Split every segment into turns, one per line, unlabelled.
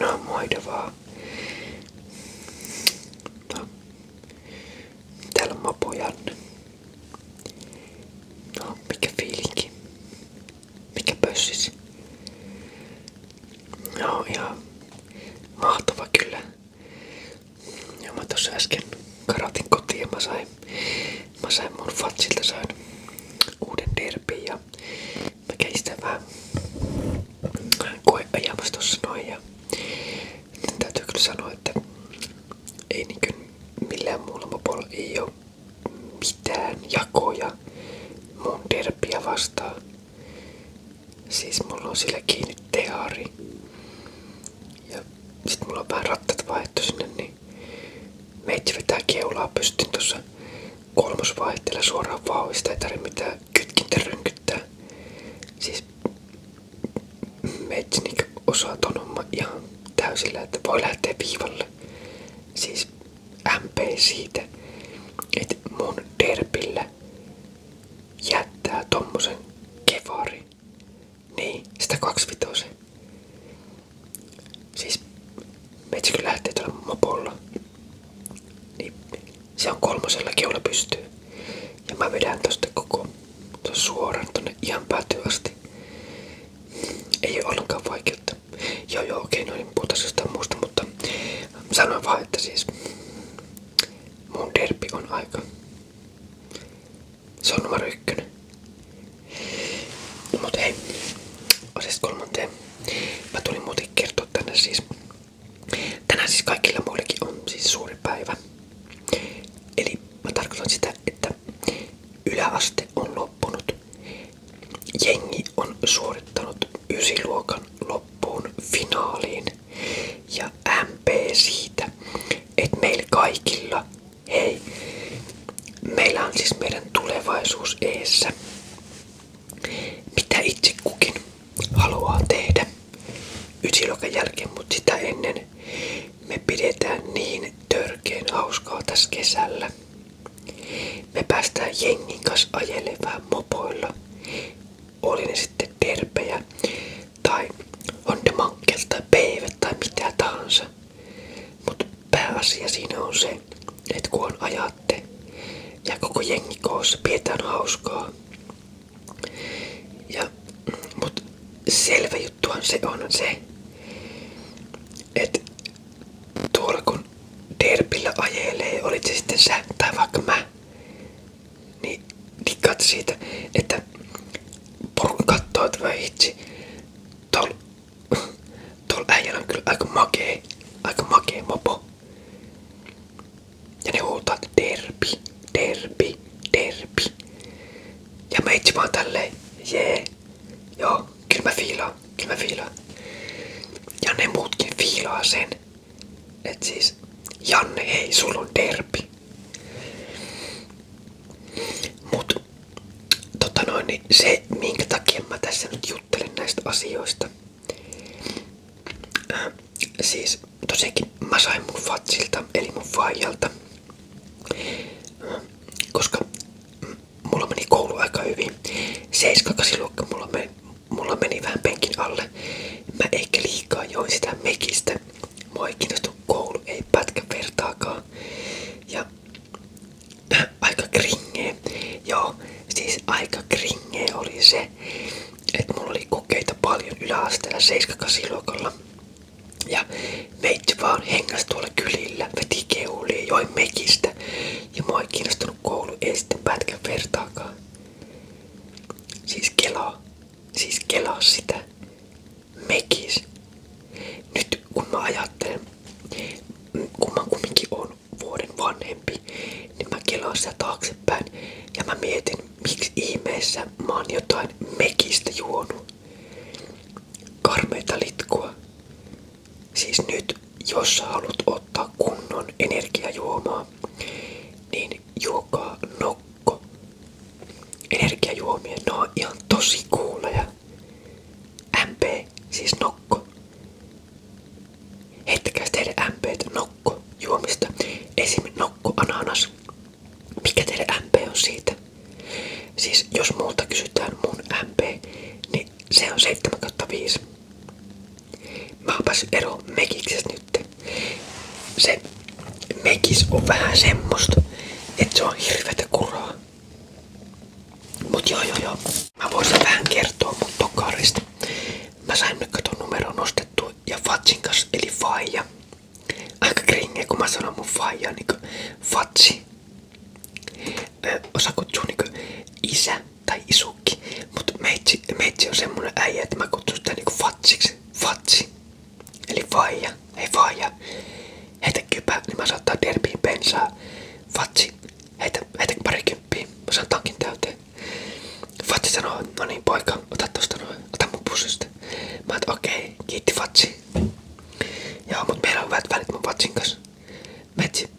No moida vaan. No. Täällä no, mikä fiilinki? Mikä pössis? No ihan mahtava kyllä. Ja mä tossa äsken karatin kotiin mä sain Mä sain mun fatsilta sain uuden derpin ja vähän koe ajamassa tossa noin ja täytyy kyllä sanoa, että ei niinkö ei oo mitään jakoja mun derppiä Siis mulla on sillä kiinni teari. Ja sit mulla on vähän rattat vaihtu sinne, niin niin meitsi vetää keulaa pystyn tuossa vaihteella suoraan vauhista, ei tarvitse mitään kytkintä rynkyttää. Siis meitsi niin osaa ton homman ihan täysillä, että voi lähteä viivalle. Siis MP siitä, että mun derpillä jättää tommosen kevari niin, sitä kaksivitosen. Siis metsikö lähtee tuolla mopolla. Niin se on kolmosella keula pystyy. Ja mä vedän tosta koko ton suoraan tonne ihan päätyyn Ei ole ollenkaan vaikeutta. Joo joo okei, okay, no niin puhutaan jostain muusta, mutta sanoin vaan, että siis mun derbi on aika se on numero ykkönen. Mut hei, asiasta kolmanteen. Mä tulin muuten kertoa tänne siis. Tänään siis kaikilla muillekin on siis suuri päivä. Eli mä tarkoitan sitä, että yläaste on loppunut. Jengi on suorittanut ysiluokan loppuun finaaliin. Ja MP siitä, että meillä kaikilla Hei, meillä on siis meidän tulevaisuus eessä. Mitä itse kukin haluaa tehdä ysiluokan jälkeen, mutta sitä ennen me pidetään niin törkeen hauskaa tässä kesällä. Me päästään jengin kanssa ajelevään mopoilla. Oli ne sitten terpejä tai on tai peivet tai mitä tahansa. Mutta pääasia siinä on se, että kun ajatte ja koko jengi koossa pidetään hauskaa. Ja, mut selvä juttuhan se on se, että tuolla kun derpillä ajelee, olit se sitten sä tai vaikka mä, niin dikkaat siitä, että porukka kattoo, että hitsi, Tuolla äijällä on kyllä aika makee, mopo. Ja ne huutaa, että derbi, derbi, derbi. Ja mä jee, joo, kyllä mä fiilaan, kyllä mä fiilaan. Ja ne muutkin sen. Et siis, Janne, ei sulla on derbi. Mut tota noin, niin se minkä takia mä tässä nyt juttelen näistä asioista. Äh, siis tosiaankin mä sain mun fatsilta, eli mun vaijalta. Äh, koska mulla meni koulu aika hyvin. 7-8 luokka mulla meni, mulla meni vähän penkin alle. Mä eikä liikaa join sitä mekistä. Mua ei kiinnostu koulu, ei pätkä vertaakaan. Ja aika kringee. Joo, siis aika kringee oli se, että mulla oli kokeita paljon yläasteella 7-8 Ja meitsi vaan hengas tuolla kylillä, veti keulia, joi mekistä. Ja mua ei kiinnostunut koulu, ei sitten pätkän vertaakaan. Siis kelaa. Siis kelaa sitä mekis. Nyt kun mä ajattelen, kun mä kumminkin on vuoden vanhempi, niin mä kelaan sitä ja mä mietin, miksi ihmeessä mä oon mekistä juonut. Karmeita litkua. Siis nyt, jos sä ottaa kunnon energiajuomaa, niin juokaa nokko. Energiajuomia, ne on ihan tosi kuuleja. MP, siis nokko. Heittäkääs teille MPt juomista. Esim. nokko ananas. Mikä teille on siitä? Siis jos multa kysytään mun MP, niin se on 7-5. Mä oon päässyt Se mekis on vähän semmoista, että se on hirveätä kuraa. Mut joo joo joo. Mä voisin vähän kertoa mun tokarista. Mä sain nyt katon numero nostettu ja Fatsin kanssa eli Faija. Aika kringe kun mä sanon mun Faija niinku Fatsi. osa kutsuu niinku isä tai isukki. Mut meitsi, meitsi on semmonen äijä, että mä kutsun sitä niinku Fatsiksi. Fatsi. Eli Faija hei vaan ja heitä kypä, niin mä saan ottaa derbiin bensaa. vatsi, heitä, heitä parikymppiä, mä saan tankin täyteen. Fatsi sanoo, no niin poika, ota tosta noin, ota mun pussista. Mä oon, okei, okay, kiitti vatsi, Joo, mut meillä on hyvät välit mun Fatsin kanssa. Metsi,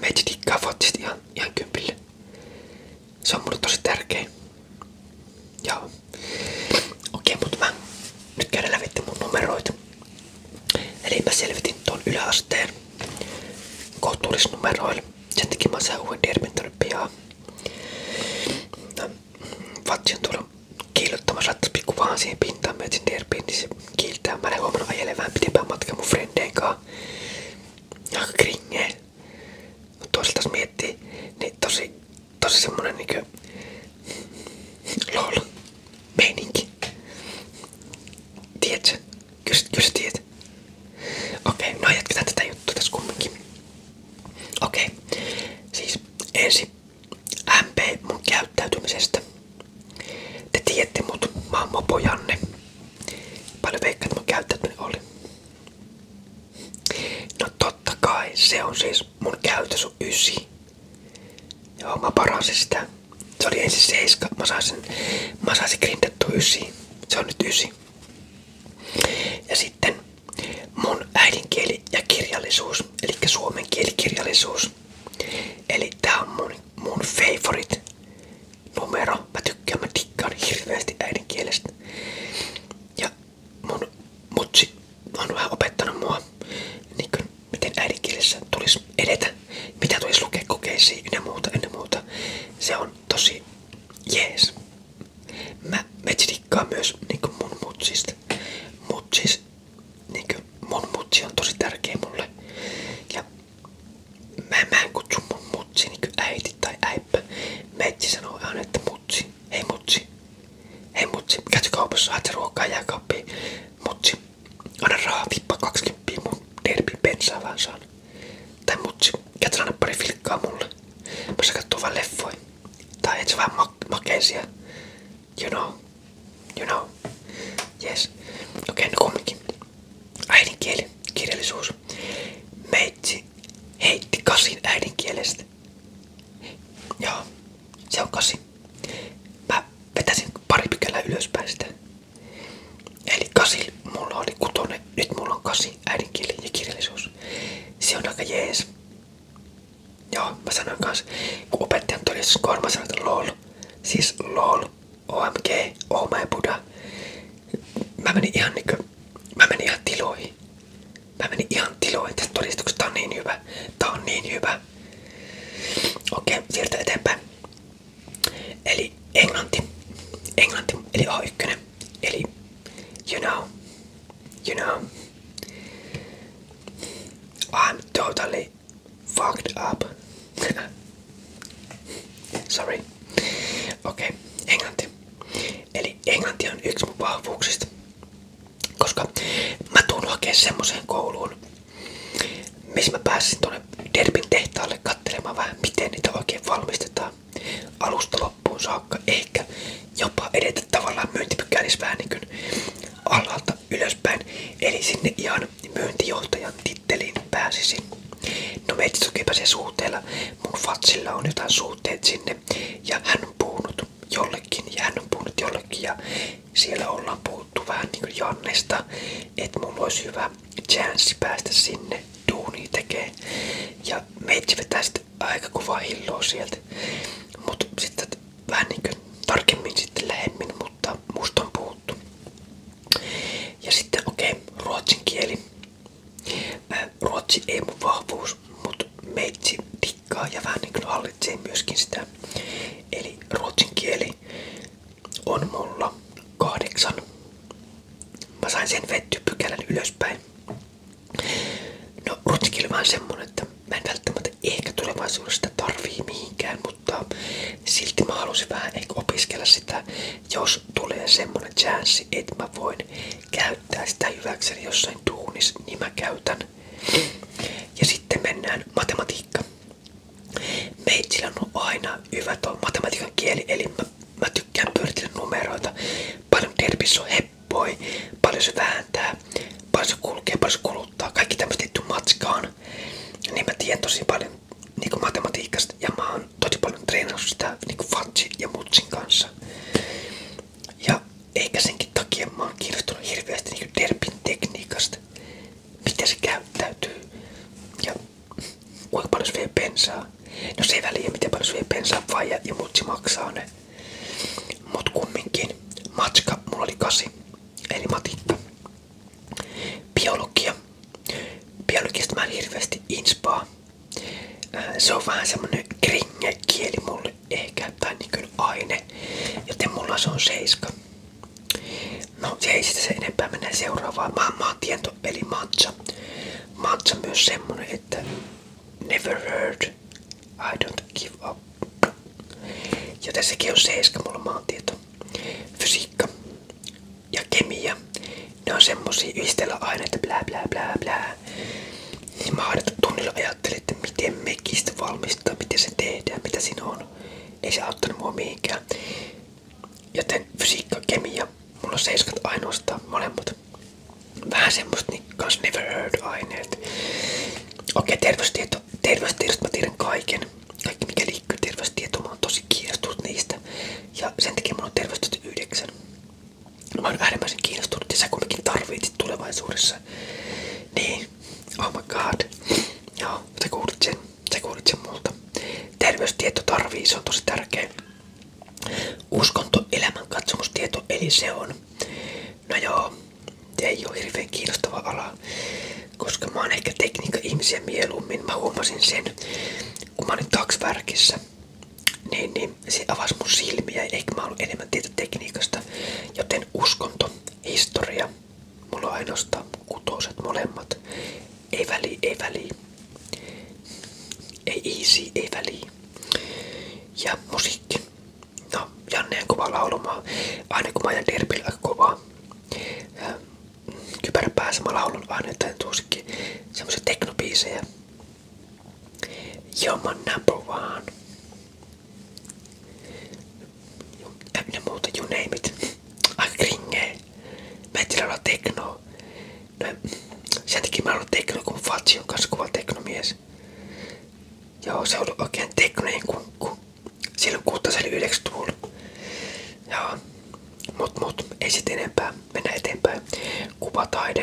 metsi dikkaa Fatsista ihan, ihan kympille. Se on mulle tosi tärkeä. Joo. Okei, okay, mutta mä nyt käydään läpi mun numeroita. Eli mä selvitin tuon yläasteen kohtuullisnumeroilla. Sen takia mä saan uuden Dirmintorin pihaan. Mm, Vatsi on tuolla kiillottamassa pikku vaan siihen pintaan. Mä etsin Dirbiin, niin se kiiltää. Mä en huomannut ajele vähän pitempään matkaa mun frendeen kanssa. Aika kringee. Mutta toisaalta jos miettii, niin tosi, tosi semmonen niinku Lol. Meininki. Tiedätkö? Kyllä, kyllä tiedät. Okei, okay, no jatketaan tätä juttua tässä kumminkin. Okei, okay. siis ensin MP mun käyttäytymisestä. Te tiedätte mut, mä oon mopojanne. Paljon veikkaat mun käyttäytyminen No totta kai, se on siis mun käytös on ysi. Joo, mä paransin sitä. Se oli ensin 7. Mä sain sen, mä sain sen grindattua 9. Se on nyt 9. Ja sitten mun äidinkieli ja kirjallisuus, eli suomen kieli kirjallisuus. Eli tää on mun, mun favorite numero. Mä tykkään, mä tikkaan hirveästi äidinkielestä. Ja mun mutsi on vähän opettanut mua, niin kuin, miten äidinkielessä tulisi edetä, mitä tulisi lukea kokeisiin ynnä muuta, ynnä muuta. Se on tosi jees. Mä metsidikkaan myös niin kuin mun mutsista. Mutsis, niin kuin, mun mutsi on tosi tärkeä mulle. Ja mä, mä en kutsu mun mutsi niin äiti tai äippä. Metsi sanoo aina, että mutsi. Hei mutsi. Hei mutsi. Käytkö kaupassa, haet ruokaa jääkaappiin. Mutsi. Anna rahaa, tippa 20 mun derbi bensaa vaan saan. Tai mutsi, käytä anna pari filkkaa mulle. Mä You know. You know. Yes. Okei, okay, no kumminkin. Äidinkieli, kirjallisuus. Meitsi heitti kasin äidinkielestä. Joo, se on kasi. Mä vetäisin pari pykälää ylöspäin Eli kasi, mulla oli kutonen, nyt mulla on kasi, äidinkieli ja kirjallisuus. Se on aika jees. Joo, mä sanoin kans, kun opettajan todistus siis kohdalla, mä lol. Siis lol, omg, oh my buddha. Mä menin ihan niinkö, mä menin ihan tiloihin. Mä menin ihan tiloihin tästä todistuksesta, tää on niin hyvä, tää on niin hyvä. Okei, siirrytään eteenpäin. Eli englanti. Englanti, eli A1. Eli you know, you know. I'm totally fucked up. Sorry. Okei, englanti. Eli englanti on yksi mun vahvuuksista. Koska mä tuun hakemaan semmoiseen kouluun, missä mä pääsin tuonne Derbin tehtaalle katselemaan vähän, miten niitä oikein valmistetaan alusta loppuun saakka. Ehkä jopa edetä tavallaan myyntipykälissä vähän niin kuin ylöspäin. Eli sinne ihan myyntijohtajan titteliin pääsisin. No me toki se suhteella. Mun fatsilla on jotain suhteet sinne ja hän on puhunut jollekin ja hän on puhunut jollekin ja siellä ollaan puhuttu puhuttu vähän niinku Jannesta, että mulla olisi hyvä chanssi päästä sinne duuni tekee. Ja meitsi vetää sitten aika kovaa hilloa sieltä. Mut sitten vähän niinku tarkemmin sitten lähemmin, mutta musta on puhuttu. Ja sitten okei, okay, ruotsin kieli. Äh, ruotsi ei mun vahvuus, mut meitsi tikkaa ja vähän niin kuin hallitsee myöskin sitä. Eli ruotsin kieli asti on mulla kahdeksan. Mä sain sen vetty pykälän ylöspäin. No rutskilla vaan semmonen, että mä en välttämättä ehkä tulevaisuudesta tarvii mihinkään, mutta silti mä halusin vähän ehkä opiskella sitä, jos tulee semmonen chanssi, että mä voin käyttää sitä hyväkseni jossain duunis, niin mä käytän. Ja sitten mennään matematiikka. Meitsillä on aina hyvä tuo matematiikan kieli, eli mä, mä tykkään pyöritellä numeroita. Paljon derbissä on heppoi, paljon se vääntää, paljon se kulkee, paljon se kuluttaa. Kaikki tämmöistä liittyy matskaan. Niin mä tiedän tosi paljon niin matematiikasta ja mä oon tosi paljon treenannut sitä niin Fatsi ja Mutsin kanssa. Ja eikä senkin takia mä oon kiinnostunut hirveästi niin derbin tekniikasta miten se käyttäytyy ja kuinka paljon se vie bensaa. No se ei väliä, miten paljon se vie bensaa vai ja, ja mutsi maksaa ne. Mut kumminkin, matska mulla oli kasi, eli matikka. Biologia. Biologista mä en hirveästi inspaa. Äh, se on vähän semmonen kringekieli mulle ehkä, tai niin aine, joten mulla se on seiska. No se ei sitten se enempää mene seuraavaan. Mä maantiento eli matcha. Matcha myös semmonen, että never heard, I don't give up. Ja tässäkin on 7 mulla maantieto. Fysiikka ja kemia. Ne on semmosia yhdistellä aineita blää blää blää blää. Niin mä aina tunnilla ajattelin, että miten mekistä valmistaa, miten se tehdään, mitä siinä on ei se auttanut mua mihinkään. Joten fysiikka, kemia, mulla on seiskat ainoastaan molemmat. Vähän semmoista niin kans never heard aineet. Okei, terveystieto. Terveystiedosta mä tiedän kaiken. Kaikki mikä liittyy terveystietoon, mä oon tosi kiinnostunut niistä. Ja sen takia mulla on terveystieto 9. Mä oon äärimmäisen kiinnostunut ja sä kuitenkin tarvitset tulevaisuudessa. Niin, Oh my god. Joo, sä kuulit sen. Sä kuulit sen multa. Terveystieto tarvii, se on tosi tärkeä. Uskonto, elämän katsomustieto, eli se on. No joo, ei ole hirveän kiinnostava ala, koska mä oon ehkä tekniikka-ihmisiä mieluummin. Mä huomasin sen, kun mä olin taksvärkissä, niin, niin se avasi mun silmiä, eikä mä ollut enemmän tietä tekniikasta. Joten uskonto, historia, Mulla on ainoastaan kutoset molemmat. Ei väli, ei väli. Ei easy, ei väli. Ja musiikki. No, Janne on kova laulumaa. Aina kun mä ajan derpillä kovaa. Mm, Kypärä päässä mä laulan aina jotain tuosikin semmosia teknobiisejä. You're my number ja muuta, you name it. Aika kringee. Mä en tiedä olla teknoa. No, sen takia mä oon tekno, kun Fatsi on kanssa kuva teknomies. Joo, se on ollut oikein teknojen niin kun, kun silloin kuuttaseli 90-luvulla. Joo, mut mut, ei sit enempää. Mennään eteenpäin. Kuvataide.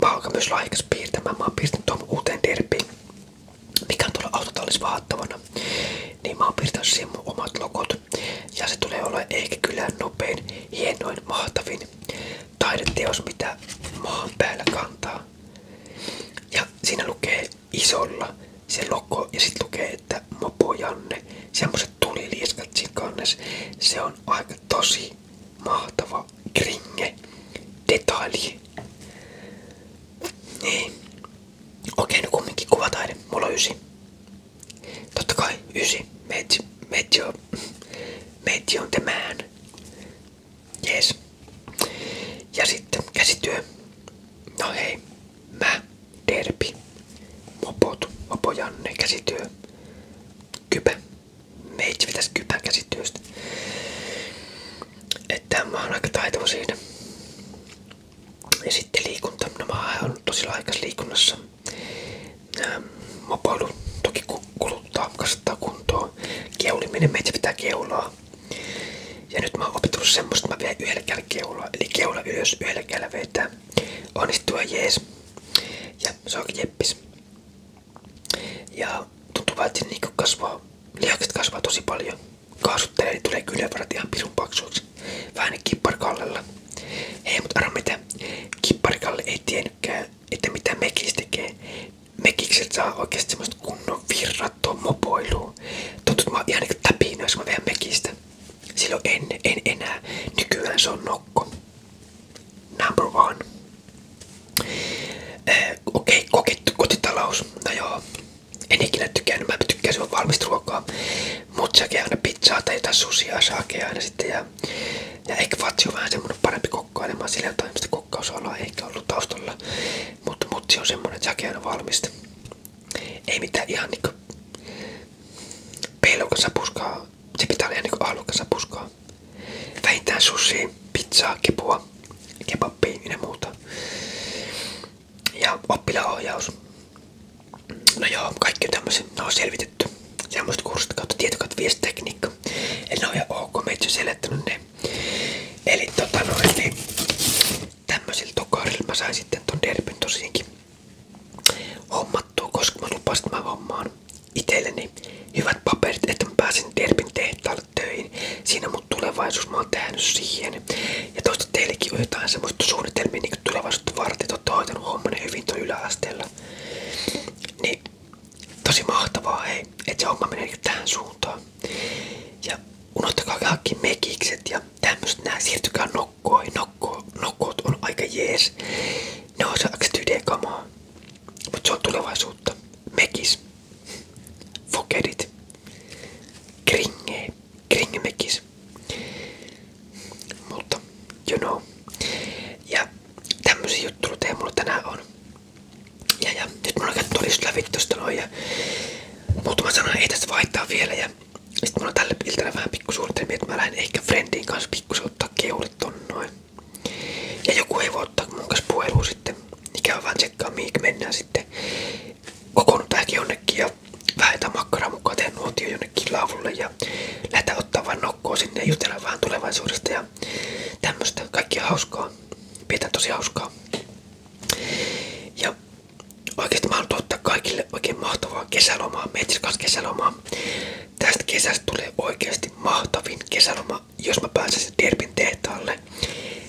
Palka myös lahjakas piirtämään. Mä oon piirtänyt tuon uuteen derbiin mikä on tuolla autotallis vahattavana, niin mä oon piirtänyt siihen mun omat logot. Ja se tulee olla ehkä kyllä nopein, hienoin, mahtavin taideteos, mitä maan päällä kantaa. Ja siinä lukee isolla se logo ja sitten lukee, että Mopo Janne, semmoset tulilieskat siinä kannessa. Se on aika tosi mahtava kringe, detalji. Niin. Okei, no niin kumminkin kuvataide. Mulla on ysi. Totta kai, ysi. Meitsi, meitsi on, meitsi on temään. Jees. Ja sitten käsityö. No hei, mä, derpi, mopot, mopo Janne, käsityö, kypä. Meitsi pitäisi kypän käsityöstä. Että mä oon aika taitava siinä. Ja sitten liikunta. No mä oon tosi laikas liikunnassa. Ähm, mopoilu toki kuluttaa, kasvattaa kuntoon. Keuliminen, meitä pitää keulaa. Ja nyt mä oon opetellut semmoista, että mä vien yhdellä kädellä keulaa. Eli keula ylös, yhdellä kädellä vetää. Onnistua jees. Ja se onkin jeppis. Ja tuntuu vaan, että niin kasvaa, lihakset kasvaa tosi paljon kaasuttelee, niin tulee kyljenvarat ihan pirun paksuiksi. Vähän kipparikallella. Hei, mut arvo mitä, kipparikalle ei tiennytkään, että mitä mekis tekee. Mekikset saa oikeesti semmoista kunnon virrattua mopoilua. Tuntuu, että mä oon ihan niinku täpinä, jos mä vähän mekistä. Silloin en, en enää. Nykyään se on nokko. Number one. Äh, okei, eh, okay, kokettu kotitalous. No joo, en ikinä tykännyt, mä tykkäsin vaan valmista ruokaa. Mut säkin aina pizzaa tai jotain susia saakee aina sitten. Ja, ja ekvatsi on vähän semmonen parempi kokkailemaan, sillä jotain mistä kokkausalaa ehkä ollut taustalla. Mut mutsi on semmonen, että säkin aina valmista. Ei mitään ihan niinku peilukasapuskaa. Se pitää olla ihan niinku ahlukasapuskaa. Vähintään sushi, pizzaa, kipua, kebappia ja muuta ja oppilaanohjaus. No joo, kaikki tämmöiset, ne on selvitetty. Semmoiset kurssit kautta tietokoneviestitekniikka. Eli ne on ihan ok, mä selittänyt ne. Eli tota noin, niin tämmöisillä tokarilla mä sain sitten ton derbyn tosiaankin hommattua, koska mä lupasin, että mä hommaan itselleni hyvät paperit, että mä pääsen Derbin tehtaalle töihin. Siinä on mun tulevaisuus, mä oon tehnyt siihen. Ja toista teillekin on jotain semmoista suunnitelmia niin tulevaisuutta varten, olette hoitanut hommanne hyvin tuon yläasteella. Niin tosi mahtavaa hei, että se homma menee tähän suuntaan. Ja unohtakaa kaikki mekikset ja tämmöset nää, siirtykää nokkoihin, nokko, nokkot on aika jees. Ne on osaksi tydekamaa, mutta se on tulevaisuutta. Mekis. Fokedit. Kringe, kringemekis. Mutta, you know. Ja tämmösiä juttuja mulla tänään on. Ja, ja nyt mulla on käyty todistus läpi tosta noin ja muutama sana ei tässä vaihtaa vielä ja sitten mulla on tälle iltana vähän pikkusuunnitelmia, että mä lähden ehkä Friendin kanssa pikkusen ottaa keulit ton noin. Ja joku ei voi ottaa mun kanssa puhelua sitten, mikä on vaan tsekkaa mihin mennään sitten kokoonnut vähän jonnekin ja vähetään makkaraa mukaan, tehdään nuotio jonnekin laavulle ja lähdetään ottaa vain nokkoa sinne ja jutella vähän tulevaisuudesta ja tämmöstä. Kaikkia hauskaa. Pidetään tosi hauskaa. Ja oikeesti mä haluan tuottaa kaikille oikein mahtavaa kesälomaa. Mietin kanssa kesälomaa. Tästä kesästä tulee oikeasti mahtavin kesäloma. Jos mä pääsen Derbin tehtaalle,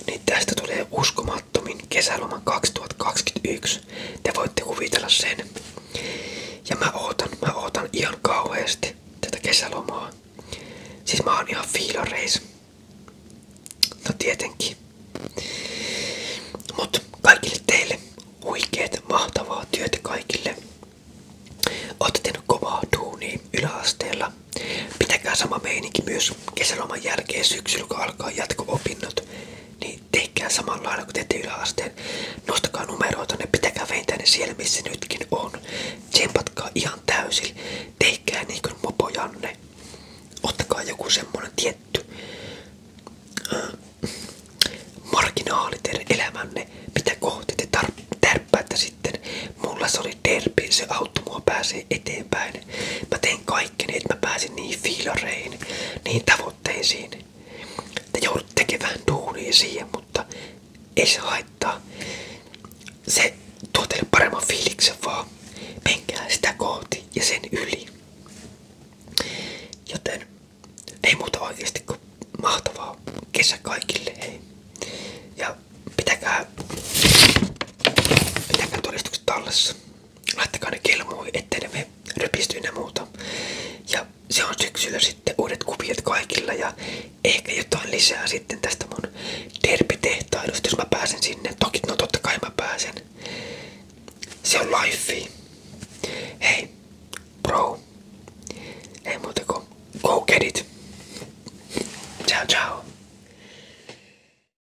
niin niin tästä tulee uskomattomin kesäloma 2021. Te voitte kuvitella sen. Ja mä ootan, mä ootan ihan kauheasti tätä kesälomaa. Siis mä oon ihan fiilareis. No tietenkin. Mut kaikille teille huikeet, mahtavaa työtä kaikille. Ootte tehnyt kovaa duunia yläasteella. Pitäkää sama meininki myös jos kesäloman jälkeen syksyllä, kun alkaa jatko-opinnot, niin tehkää samalla lailla kuin teette yläasteen. Nostakaa numeroita, ne pitäkää veintää ne siellä, missä nytkin on. Tsempatkaa ihan täysin. Tehkää niin kuin mopojanne. Ottakaa joku semmonen tietty äh, marginaali teidän elämänne, mitä kohti te tärppäätte sitten. Mulla se oli derbi, se auttoi mua pääsee eteenpäin. Mä tein kaikkeni, niin, että mä pääsin niihin fiilareihin, niihin tavoitteisiin. Te joudut tekemään duunia siihen, mutta ei se haittaa. Se tuo teille paremman fiiliksen vaan. Menkää sitä kohti ja sen yli. Joten ei muuta oikeasti kuin mahtavaa kesä kaikille. Hei. Ja pitäkää, pitäkää todistukset tallessa laittakaa ne kelmuihin, ettei ne rypistyy ja muuta. Ja se on syksyllä sitten uudet kuviot kaikilla ja ehkä jotain lisää sitten tästä mun terpetehtailusta, jos mä pääsen sinne. Toki, no totta kai mä pääsen. Se on life. Hei, bro. Ei muuta kuin go get it. Ciao, ciao.